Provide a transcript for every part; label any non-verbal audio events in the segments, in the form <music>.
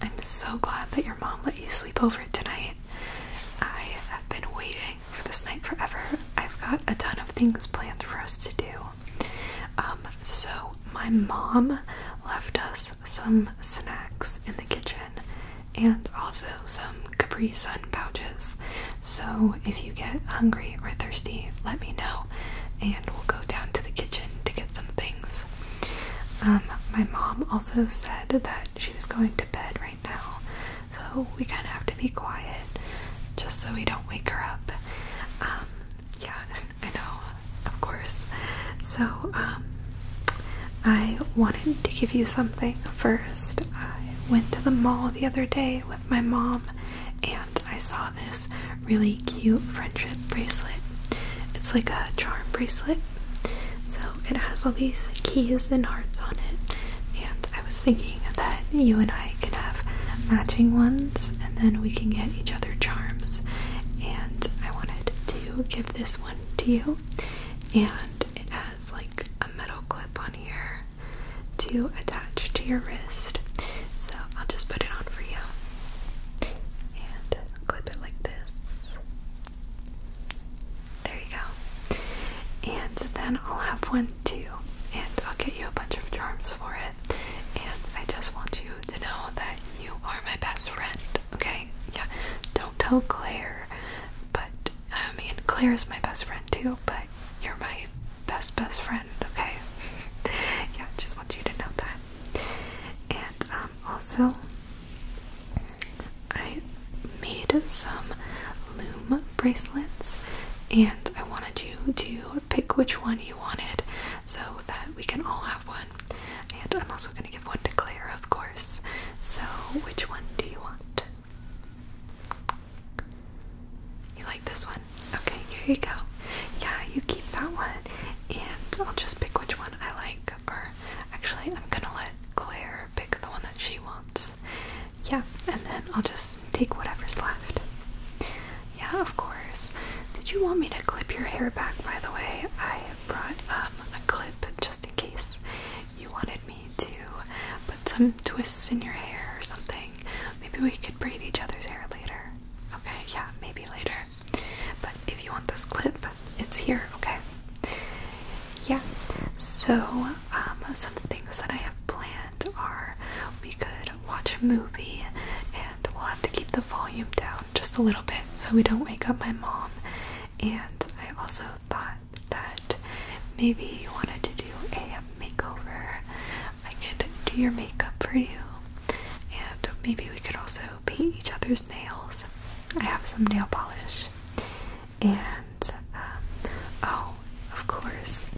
I'm so glad that your mom let you sleep over tonight. I have been waiting for this night forever. I've got a ton of things planned for us to do. Um, so my mom left us some snacks in the kitchen and also some Capri Sun pouches. So if you get hungry or thirsty, let me know and we'll go down to the kitchen to get some things. Um, my mom also said that she was going to bed right now, so we kind of have to be quiet just so we don't wake her up. Um, yeah, I know, of course. So, um, I wanted to give you something first. I went to the mall the other day with my mom and I saw this really cute friendship bracelet. It's like a charm bracelet. So it has all these keys and hearts on it. And I was thinking that you and I could have matching ones and then we can get each other charms. And I wanted to give this one to you. And it has like a metal clip on here to attach to your wrist. So I'll just put it on for you and clip it like this. There you go. And then I'll have one too, and I'll get you a bunch of charms for it. And I just want you to know that you are my best friend, okay? Yeah, don't tell Claire, but I mean, Claire is my best friend too, but you're my best, best friend, okay? <laughs> yeah, just want you to know that. And, um, also, I made some loom bracelets, and I wanted you to pick which one you wanted so that we can all have one. And I'm also going to give one to Claire, of course. So, which one do you want? You like this one? Okay, here you go. Yeah, you keep that one, and I'll just pick which one. I like, or actually, I'm gonna let Claire pick the one that she wants. Yeah, and then I'll just take whatever's left. Yeah, of course. Did you want me to clip your hair back, by the way? I brought um, a clip just in case you wanted me to put some twists in your hair or something. Maybe we could braid each other's hair later. Okay, yeah, maybe later. But if you want this clip, it's here, okay? Yeah, so um, some of the things that I have planned are we could watch a movie and we'll have to keep the volume down just a little bit so we don't wake up my mom. And I also thought that maybe you wanted to do a makeover. I could do your makeup for you, and maybe we could also paint each other's nails. I have some nail polish. And, um, oh, of course,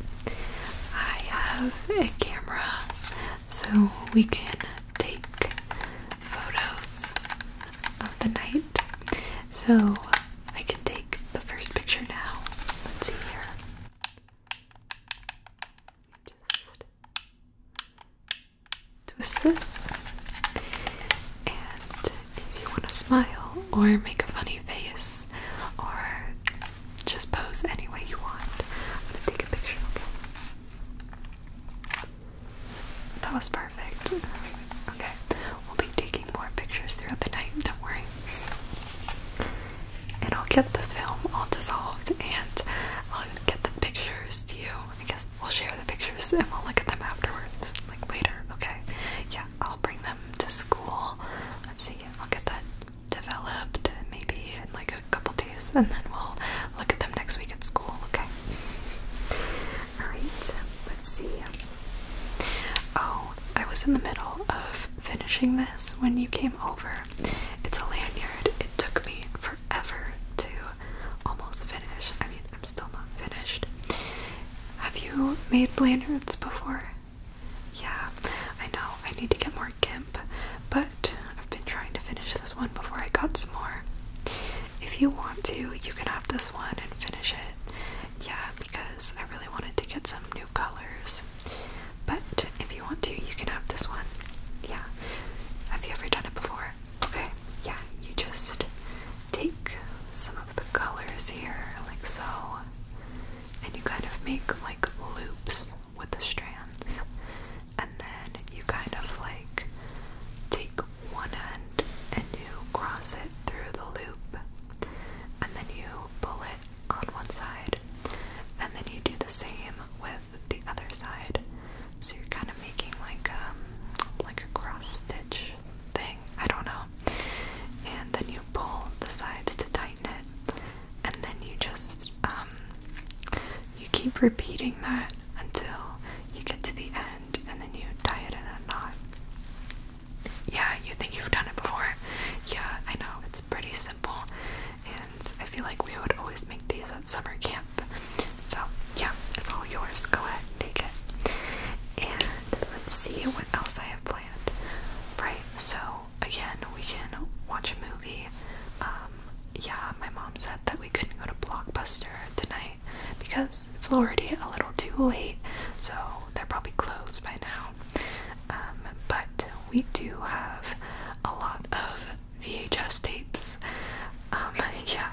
I have a camera so we can take photos of the night. So I can take the first picture now. Let's see here. Just twist this. And if you want to smile or make a funny face or just pose any way you want, I'm gonna take a picture. Okay. That was perfect. Okay, we'll be taking more pictures throughout the night. Don't worry. And I'll get the film all dissolved and get the pictures to you. I guess we'll share the pictures and we'll look at them afterwards, like later. Okay. Yeah, I'll bring them to school. Let's see. I'll get that developed maybe in like a couple days, and then we'll look at them next week at school. Okay. All right. Let's see. Oh, I was in the middle of finishing this when you came over, it's a lanyard. It took me forever to almost finish. I mean, I'm still not finished. Have you made lanyards before? Yeah, I know. I need to get more gimp, but I've been trying to finish this one before I got some more. If you want to, you can have this one and finish it. Yeah, because I really wanted to get some new colors. But if you want to, you can have this one. Yeah. Have you ever done it before? Okay. Yeah, you just take some of the colors here, like so, and you kind of make like loops with the strands, and then you kind of like take one end and you cross it through the loop, and then you pull it on one side, and then you do the same with the other side. So you're kind of making like um like a cross stitch thing. I don't know. And then you pull the sides to tighten it. And then you just um, you keep repeating that until you get to the end and then you tie it in a knot. Yeah, you think you've done it before. Yeah, I know. It's pretty simple, and I feel like we would always make these at summer camp. So, yeah, it's all yours. Go ahead and take it. And let's see what else I have planned. Right, so again, we can watch a movie. Um, yeah, my mom said that we couldn't go to Blockbuster tonight because it's already a little too late, so they're probably closed by now. Um, but we do have a lot of VHS tapes. Um, <laughs> yeah,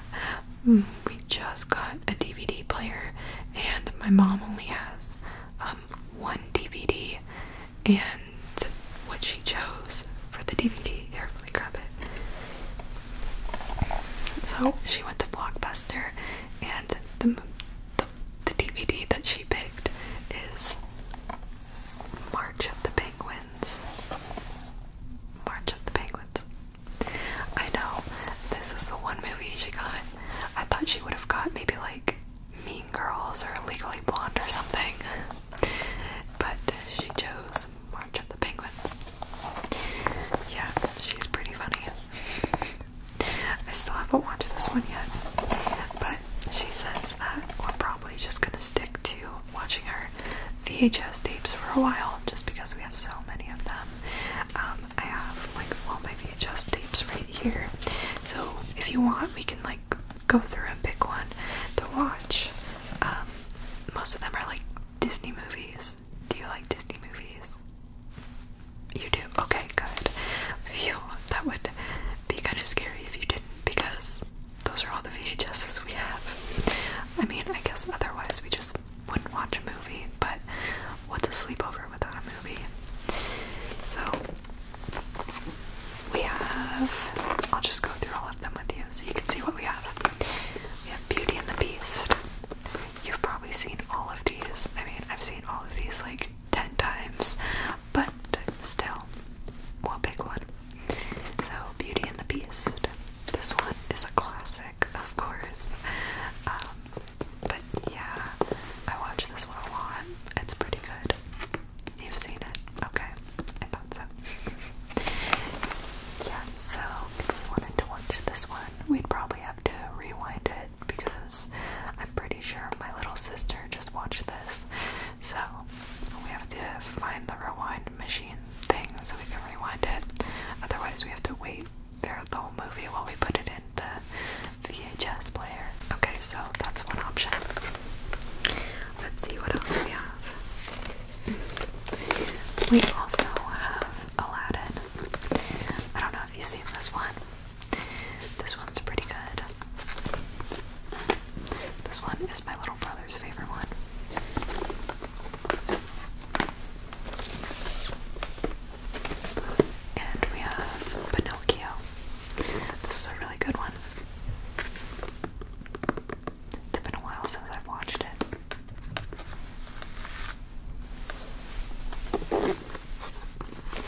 mm, we just got a DVD player, and my mom only has um, one DVD, and what she chose for the DVD. Here, let me grab it. So she went to Blockbuster, and the the, DVD that she picked is March of the Penguins. March of the Penguins. I know, this is the one movie she got. I thought she would have got maybe like Mean Girls or Legally Blonde or something. But she chose March of the Penguins. Yeah, she's pretty funny. <laughs> I still haven't watched this one yet, but she says that we're probably just gonna stick to watching her VHS tapes for a while just because we have so many of them. Um, I have like all my VHS tapes right here. So if you want, we can like go through and pick one to watch. Um, most of them are like Disney movies. Do you like Disney movies? You do? Okay, good. Phew, that would be kind of scary if you didn't because those are all the VHSs we have. I mean, I guess otherwise we just wouldn't watch a movie, but what's a sleepover without a movie? So, we have. I'll just go through all of them with you so you can see what we have. We have Beauty and the Beast. You've probably seen all of these. I mean, I've seen all of these like ten times, but still, one big one. So, Beauty and the Beast. This one is a classic, of course. Um, but yeah, I watch this one a lot. It's pretty good. You've seen it. Okay. I thought so. <laughs> yeah, so if we wanted to watch this one, we'd probably have to rewind it because I'm pretty sure my little sister just watched this. So we have to find the rewind machine thing so we can rewind it. Otherwise, we have to wait for the whole movie while we put it in the VHS player. Okay, so that's one option. Let's see what else we have. We also have Aladdin. I don't know if you've seen this one. This one's pretty good. This one is my little brother's favorite one. And we have Pinocchio. This is a really good one. It's been a while since I've watched it. Okay.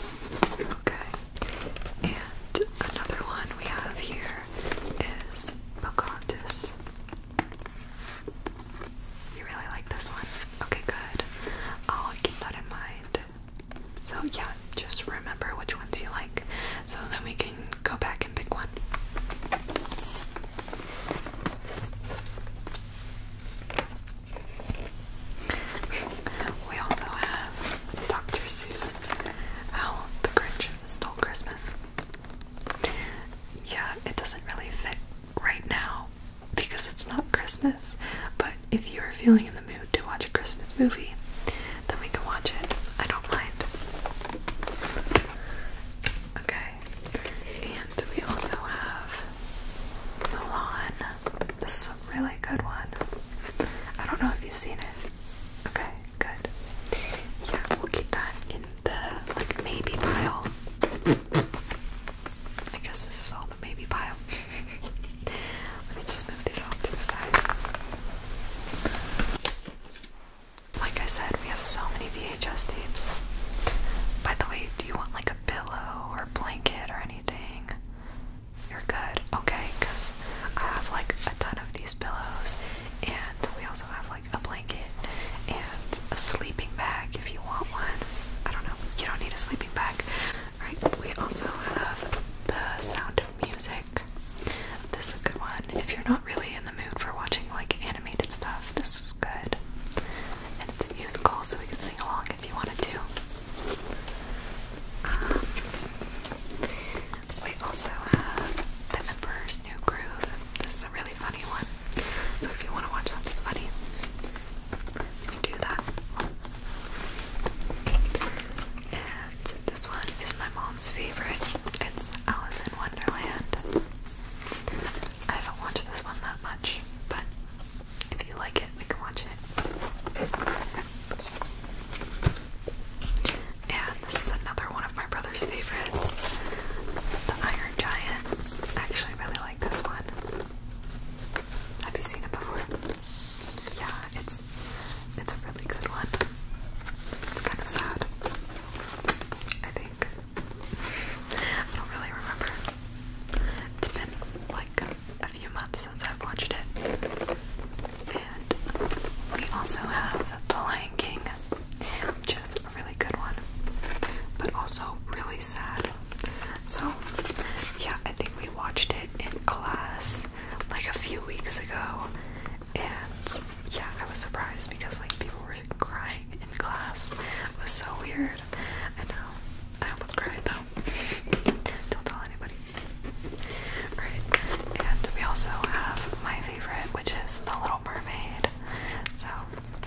And another one we have here is Pocahontas. You really like this one? Okay, good. I'll keep that in mind. So, yeah, just remember which ones you like so then we can go back and pick one we also have Dr. Seuss, How the Grinch Stole Christmas. Yeah, it doesn't really fit right now because it's not Christmas, but if you're feeling in the mood to watch a Christmas movie, then we can watch it. I don't mind. Okay, and we also have Milan. This is a really good one. I don't know if you've seen it. Okay, good. Yeah, we'll keep that in the like maybe pile. I guess this is all the maybe pile. <laughs> Let me just move these off to the side. Like I said, we have so many VHS tapes. By the way, do you want like a pillow or blanket or anything? You're good, okay? Because I have like a ton of these pillows, and we also have like a blanket and a sleeping bag if you want one. I don't know, you don't need a sleeping bag. Alright, we also have the sound of music. This is a good one. If you're not really in the mood for watching like animated stuff, this is good. And it's musical, so we can sing along if you wanted to. Um, we also have The Emperor's New Groove. This is a really funny one. So if you want to watch something funny, do that. And this one is my mom's favorite. It's Alice in Wonderland. I haven't watched this one that much, but if you like it, we can watch it. And this is another one of my brother's favorites, The Iron Giant. I actually really like this one. Have you seen it before? Yeah, it's it's a really good one. It's kind of sad. I think. <laughs> I don't really remember. It's been like a few months since I've watched it. And we also have The Lion King, which is a really good one, but also really sad. So, yeah, I think we watched it in class like a few weeks ago, and yeah, I was surprised because like people were crying in class. It was so weird. I know. I was crying though. Don't tell anybody. Alright, and we also have my favorite, which is The Little Mermaid. So,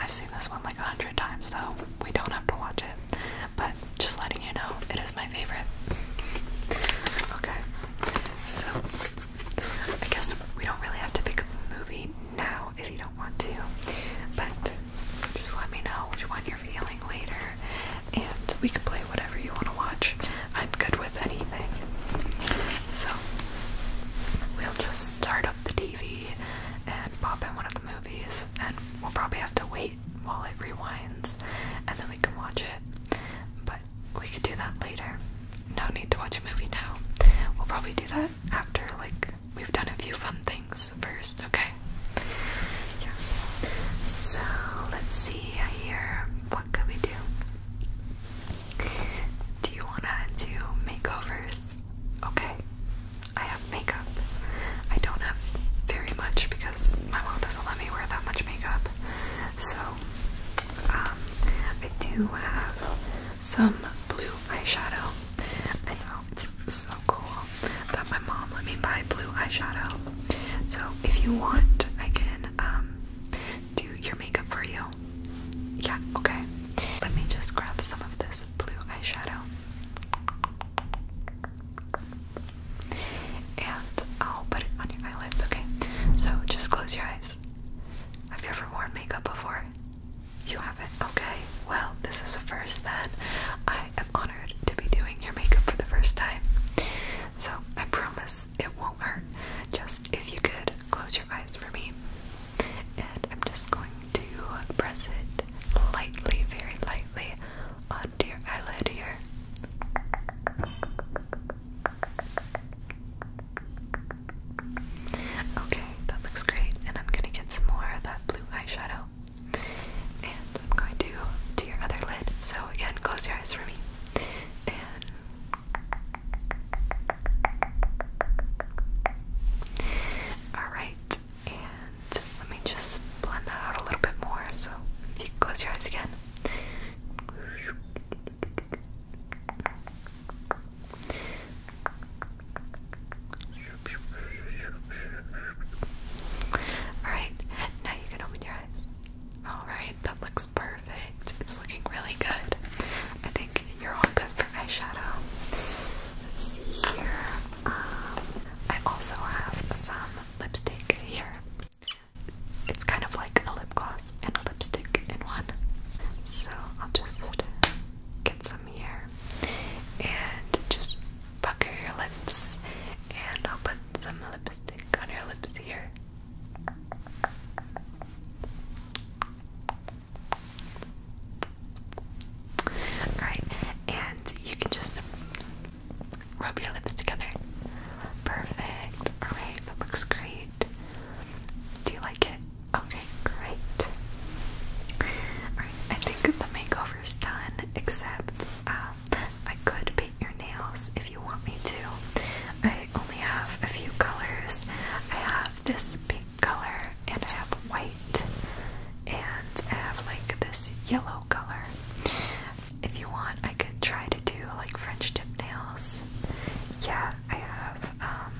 I've seen this one like a hundred times, though. We don't have to watch it, but just letting you know, it is my favorite. Okay, so I guess we don't really have to pick a movie now if you don't want to, but just let me know which one you're feeling later, and we can play whatever you want to watch. I'm good with anything. So, we'll just start up the TV and pop in one of the movies, and we'll probably have to wait while it rewinds, and then we can watch it. But we could do that later. No need to watch a movie now. We'll probably do that after, like, we've done a few fun things first, okay? So let's see here. What could we do? Do you wanna do makeovers? Okay. I have makeup. I don't have very much because my mom doesn't let me wear that much makeup. So um, I do have some blue eyeshadow. It's so cool that my mom let me buy blue eyeshadow. So if you want, I can um, do your makeup for you. Yeah, okay. Let me just grab some of this blue eyeshadow. And I'll put it on your eyelids, okay? So just close your eyes. Have you ever worn makeup before? You haven't? Okay, well, this is the first then. I I am honored to be doing your makeup for the first time. So I promise it won't hurt. Just if you could close your eyes for me. And I'm just going to press it lightly, very lightly, onto your eyelid here. Okay, that looks great. And I'm gonna get some more of that blue eyeshadow. And I'm going to do your other lid. So again, close your eyes for me. all right. And let me just blend that out a little bit more. So you close your eyes again. Alright, now you can open your eyes. Alright, that looks perfect. It's looking really good. I think you're all good for eyeshadow. Let's see here. Um, I also have some lipstick here. It's kind of like a lip gloss and a lipstick in one. So I'll just get some here and just pucker your lips, and I'll put some lipstick on your lips here. Alright, and you can just rub your lips together. Perfect. Alright, that looks great. Do you like it? Okay, great. I think the makeover is done, except um, I could paint your nails if you want me to. I only have a few colors. I have this pink color, and I have white, and I have like this yellow color. If you want, I could try to do like French tip nails. Yeah, I have um,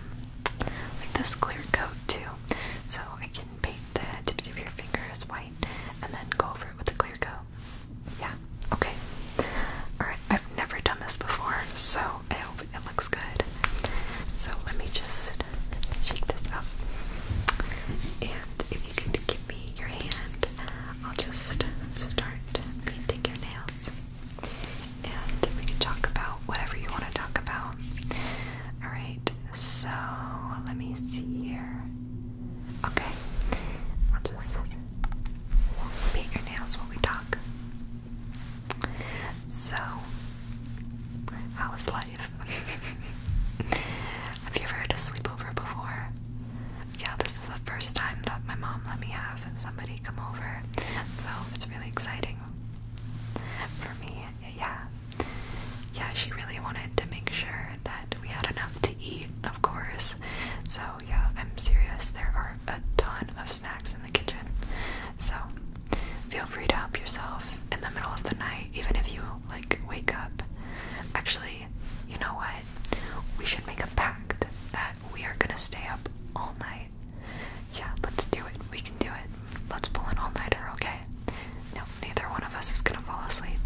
like this clear coat too, so I can paint the tips of your fingers white, and then go over it with a clear coat. Yeah, okay. Alright, I've never done this before, so I hope it looks good. So let me just shake this up. And if you can give me your hand, I'll just start painting your nails. And we can talk about whatever you want to talk about. Alright, so let me see here. Okay, I'll just paint your nails while we talk. So, how is life? <laughs> have you ever had a sleepover before? Yeah, this is the first time that my mom let me have somebody come over, so it's really exciting for me yeah, yeah. she really wanted to make sure that we had enough to eat, of course. So, yeah, I'm serious. There are a ton of snacks in the kitchen. So, feel free to help yourself in the middle of the night, even if you, like, wake up. Actually, you know what? We should make a pact that we are gonna stay up all night. Yeah, let's do it. We can do it. Let's pull an all-nighter, okay? No, neither one of us is gonna fall asleep.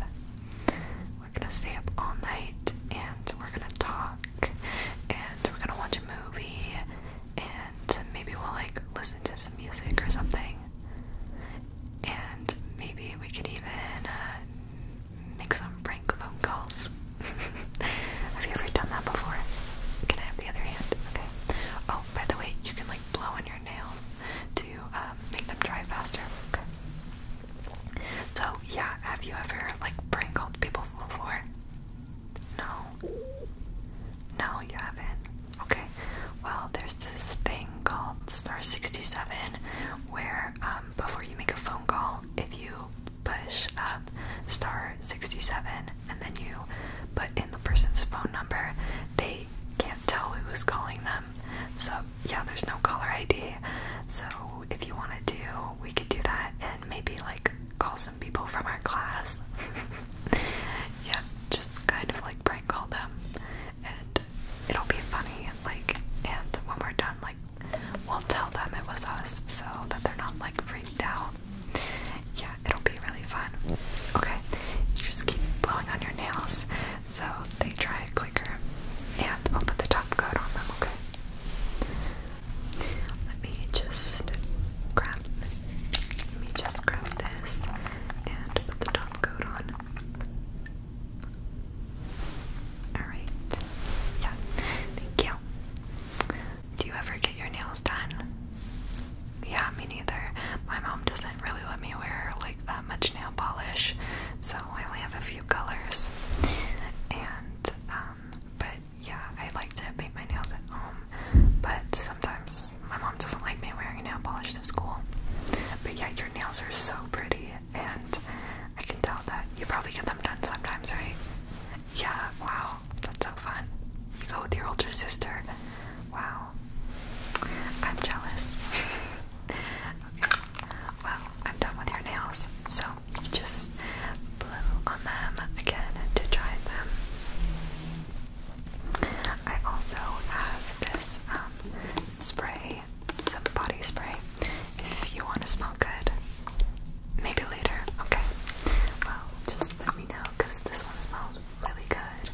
We're gonna stay up all night and we're gonna talk and we're gonna watch a movie and maybe we'll like listen to some music or something. And maybe we could even uh, make some prank phone calls. <laughs> have you ever done that before? Can I have the other hand? Okay. Oh, by the way, you can like blow on your nails to um, make them dry faster. So yeah, have you ever like prank called people before? No. No, you haven't. Okay. Well, there's this thing called star 67 where um, before you make a phone call, if you push up star 67 and then you put in the person's phone number, they can not tell who's calling them. So, yeah, there's no caller ID. So, if you want to, do, we could do that and maybe like call some people from our class. <laughs> yeah, just kind of like prank call them. And it'll be funny. Like, and when we're done, like, we'll tell them it was us so that they're not like freaked out. Yeah, it'll be really fun. Okay, just keep blowing on your nails so they dry quicker, and I'll put the top coat on Okay, let me just grab. Let me just grab this and put the top coat on. Alright. Yeah. Thank you. Do you ever get your nails done? yeah, me neither. My mom doesn't really let me wear like that much nail polish, so I only have a few colors. And um, but yeah, I like to paint my nails at home, but sometimes my mom doesn't like me wearing nail polish to school. But yeah, your nails are so pretty, and I can tell that you probably get them done sometimes, right? Yeah, wow, that's so fun. You go with your older sister. Wow, I'm jealous. <laughs> okay. Well, I'm done with your nails, so just blow on them again to dry them. I also have this um, spray, some body spray. If you want to smell good, maybe later. Okay. Well, just let me know because this one smells really good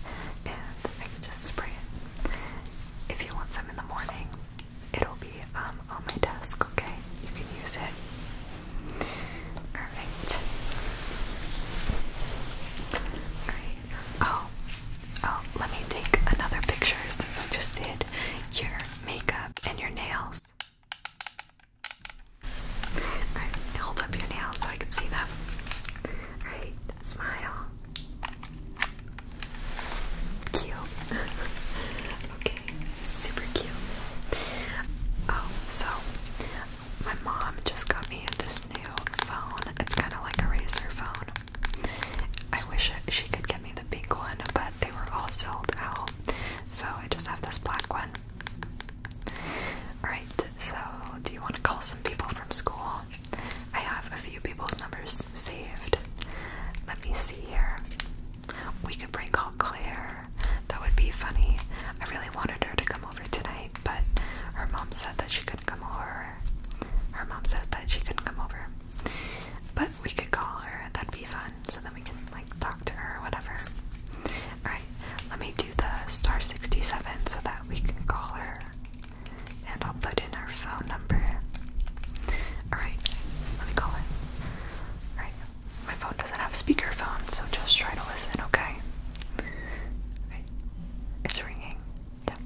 and I can just spray it. If you want some in the morning, it'll be um, on my desk, okay? You can use it. Alright. Alright. Oh, oh, let me take another picture since I just did your makeup and your nails hold up your nails so I can see them. Alright, smile. Cute. <laughs> okay, super cute. Oh, so my mom just got me this new phone. It's kind of like a razor phone. I wish she could get me the pink one, but they were all sold out. So I just have this black one. Alright, so, do you want to call some people from school? I have a few people's numbers saved. Let me see here. We could prank call Claire. That would be funny. I really wanted her to come over tonight, but her mom said that she couldn't come over. Her mom said that she couldn't come over. But we could call her. That'd be fun. So then we can like talk to her or whatever. Alright, let me the star 67 so that we can call her. And I'll put in our phone number. Alright, let me call her. Alright, my phone doesn't have speakerphone, so just try to listen, okay? Alright, it's ringing. Yeah.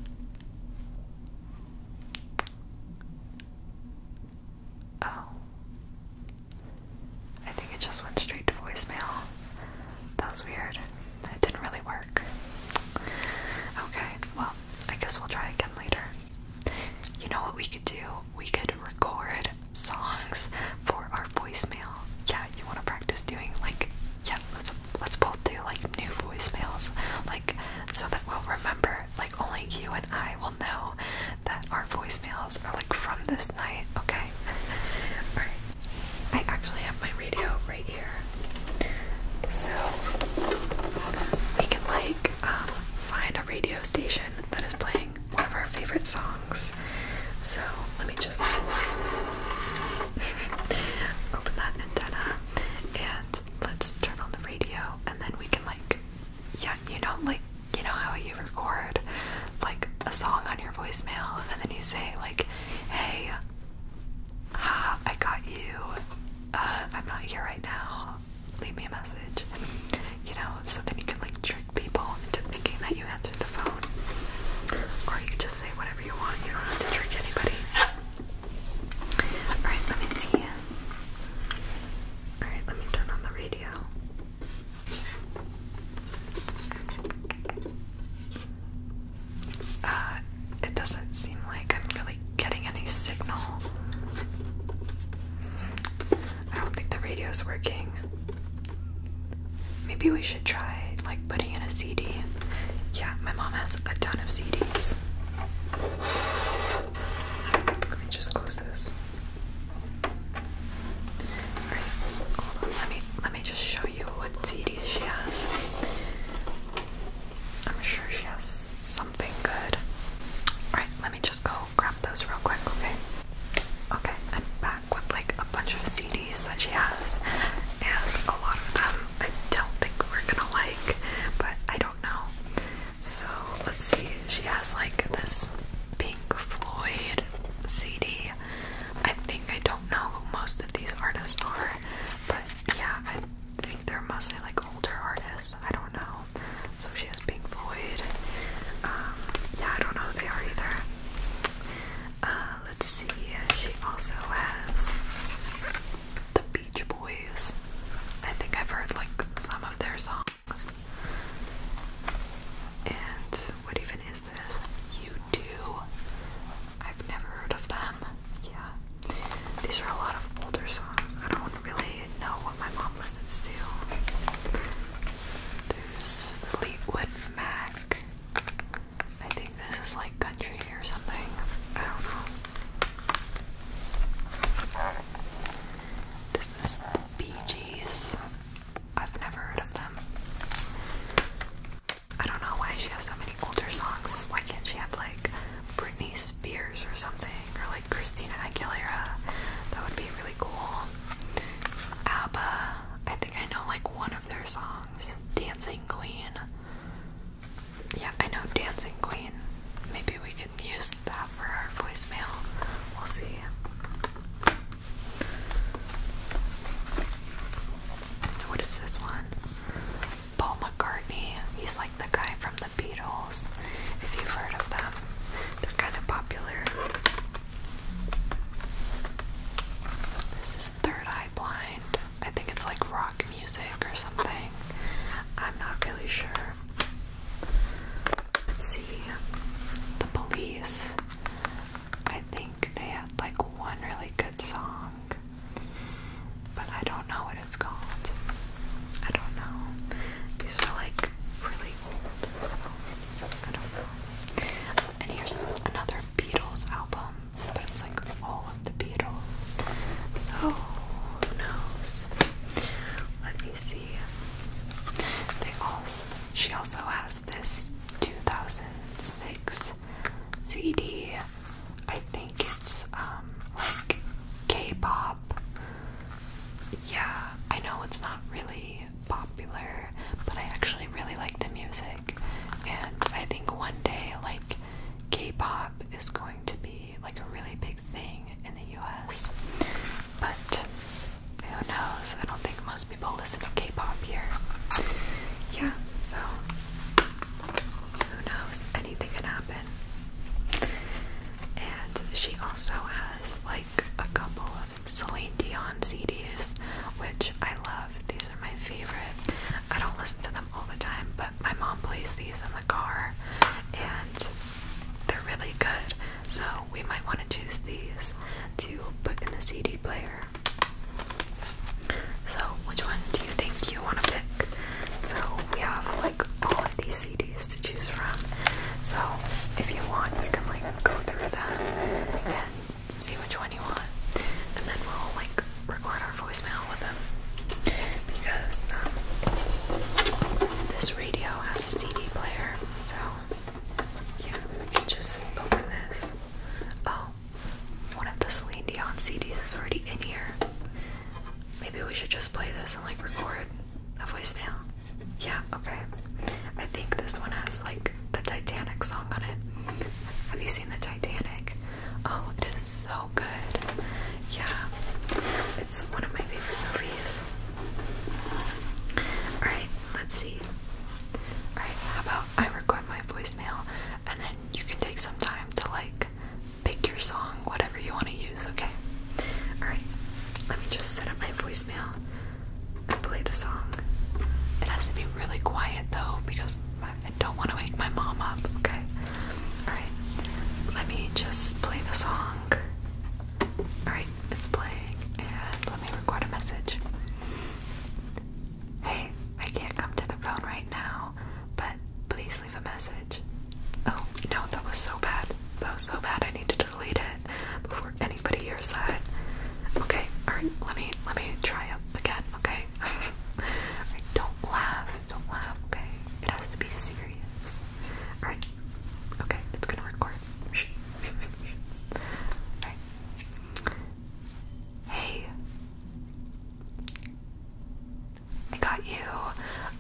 Oh. I think it just went straight to voicemail. That was weird. It didn't really work. Okay, well, I guess we'll try again later. You know what we could do? We could record songs for our voicemail. Yeah, you want to practice doing like yeah, let's let's both do like new voicemails, like so that we'll remember. Like only you and I will know that our voicemails are like from this night. Okay. <laughs> All right. I actually have my radio right here, so we can like um, find a radio station that is playing one of our favorite songs. So let me just <laughs> open that antenna and let's turn on the radio, and then we can like, yeah, you know, like you know how you record like a song on your voicemail and then you say like, hey, I got you. Uh, I'm not here right now. Leave me a message. You know, so then you can like trick people into thinking that you answered the phone. Or you just say whatever you want. You don't have to trick anybody. Alright, let me see. Alright, let me turn on the radio. Uh, it doesn't seem like I'm really getting any signal. I don't think the radio's working. Maybe we should try like putting in a CD. Yeah, my mom has a ton of CDs. Let me just close this. Alright, Let me let me just show you what CDs she has. I'm sure she has something good. Alright, let me just go grab those real quick, okay? Okay, I'm back with like a bunch of CDs that she has, and a lot of them I don't think we're gonna like, but I don't know. So let's see, she has like this Pink Floyd CD. I think I don't know who most of these artists are, but yeah, I think they're mostly like older artists. I don't know. So she has Pink Floyd. Um, yeah, I don't know who they are either. Uh, let's see. She also has the Beach Boys. I think I've heard like some of their songs. And what even is? is this? I've never heard of them. Yeah. These are a lot of older songs. I don't really know what my mom listens to. There's Fleetwood Mac. I think this is like country or something. I don't know. This is Bee Gees. I've never heard of them. I don't know why she has so many older songs. Why can't she have like Britney Spears or something? Or like Christina Aguilera? That would be really cool. ABBA. I think I know like one of their songs. Dancing Queen. Yeah, I know Dancing Queen. Maybe we can use that for our voicemail. We'll see. What is this one? Paul McCartney. He's like the guy from the Beatles. If you've heard of them, they're kind of popular. This is Third Eye Blind. I think it's like rock music or something. I'm not really sure. Let's see. The police. I think they had like one really good song, but I don't know what it's called. I don't know. These are like really old, so I don't know. And here's another Beatles album, but it's like all of the Beatles. So who knows? Let me see. They all she also has this 2006 CD. I think it's um, like K-pop. Yeah, I know it's not really popular, but I actually really like the music, and I think one day like K-pop is going to be like a really big thing in the U.S. But who knows? I don't think most people listen to K-pop here. Yeah, so who knows? Anything can happen. And she also has like a couple of Celine Dion CDs, which I love. These are my favorite. I don't listen to them all the time, but my mom plays these in the car, and they're really good. So we might want to choose these to put in the CD player. So which one do you think you want to pick? So we have like all of these CDs to choose from. So if you want, you can like go through them and see which one you want, and then we'll like record our voicemail with them because um, this radio has a CD player. So. Yeah, we can just open this. Oh, one of the Celine Dion CDs is already in here. Maybe we should just play this and like record a voicemail. Yeah, okay. I think this one has like the Titanic song on it. Have you seen the Titanic? Oh, it is so good. Yeah, it's one of my favorite movies. Alright, Let's see. Alright, how about I record my voicemail and then you can take some time to like pick your song, whatever you want to use, okay? Alright, let me just set up my voicemail and play the song. It has to be really quiet though because I don't want to wake my mom up, okay? Alright, let me just play the song. Alright it's playing, and let me record a message. Hey, I can't come to the phone right now, but please leave a message. Oh, no, that was so bad. That was so bad. I need to delete it before anybody hears that. Okay, alright, let me let me try up again, okay? <laughs> don't laugh, don't laugh, okay? It has to be serious. Alright. Okay, it's gonna record Hey, I got you.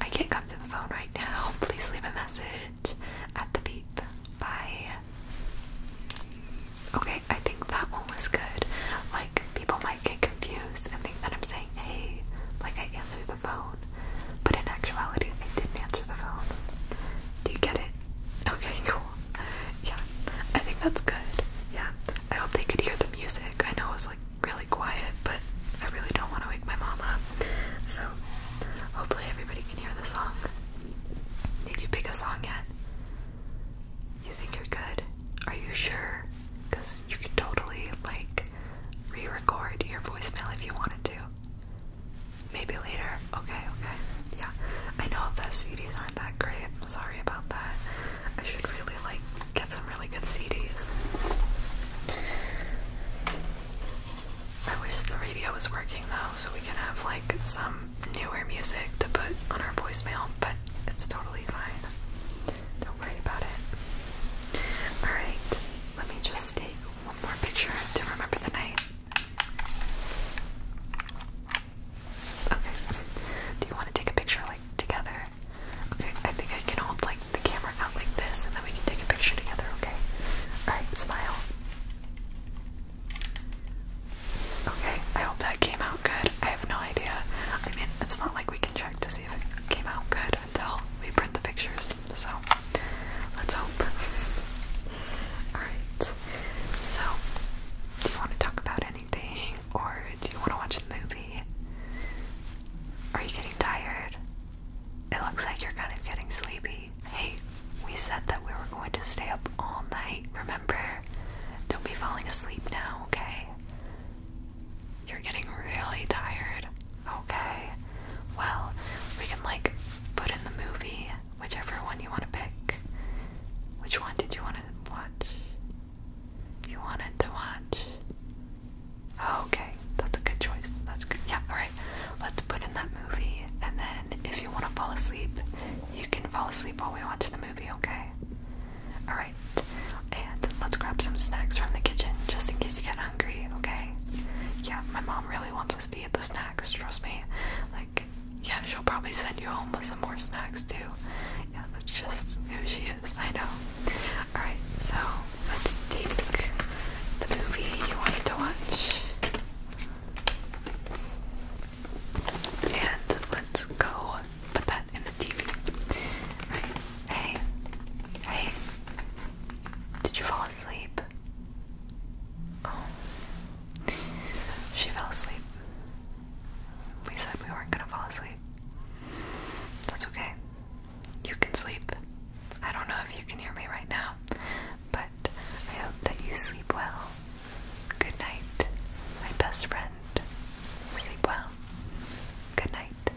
I can't come to the phone right now. <laughs> Please leave a message at the beep. Bye. Okay, I think that one was good. Like, people might get confused and think that I'm saying hey, like I answered the phone, but in actuality, I didn't answer the phone. Do you get it? <laughs> Okay, cool. Yeah, I think that's good. Yeah, I hope they could hear the music. I know it was like really quiet, but I really don't want to wake my mom up. So, hopefully, everybody can hear the song. Did you pick a song yet? You think you're good? Are you sure? Because you could totally like re-record your voicemail if you wanted to. Maybe later. Okay, okay. Yeah. I know the CDs aren't that great. sorry about that. I should really like get some really good CDs. I wish the radio was working though, so we can have like some newer music to put on our voicemail, but it's totally fine. Don't worry about it. Alright, let me just take one more picture to remember the night. Okay. Do you want to take a picture like together? Okay, I think I can hold like the camera out like this and then we can take a picture together, okay? Alright, smile. Okay, I hope that came out good. I have no idea. I mean, it's not like we can check to see if it came out good until we print the pictures. So let's hope. <laughs> Alright. So do you want to talk about anything or do you want to watch the movie? Are you getting tired? It looks like you're kind of getting sleepy. Hey, we said that we were going to stay up all night, remember? Don't be falling asleep now, okay? You're getting really tired. Okay. Well, we can like put in the movie, whichever one you want to pick. Which one did you want to watch? You wanted to watch. Okay, that's a good choice. That's good. Yeah, alright. Let's put in that movie, and then if you want to fall asleep, you can fall asleep while we watch the movie, okay? Alright, and let's grab some snacks from the kitchen just in case you get hungry, okay? Yeah, my mom mom really wants us to eat the snacks, trust me. Like, yeah, she'll probably send you home with some more snacks too. Yeah, that's just who she is, I know. Alright, so let's take the movie you wanted to watch. And let's go put that in the TV. Right. Hey, hey, did you fall asleep. Oh. She fell asleep. We said we weren't gonna fall asleep. That's okay. You can sleep. I don't know if you can hear me right now, but I hope that you sleep well. Good night, my best friend. Sleep well. Good night.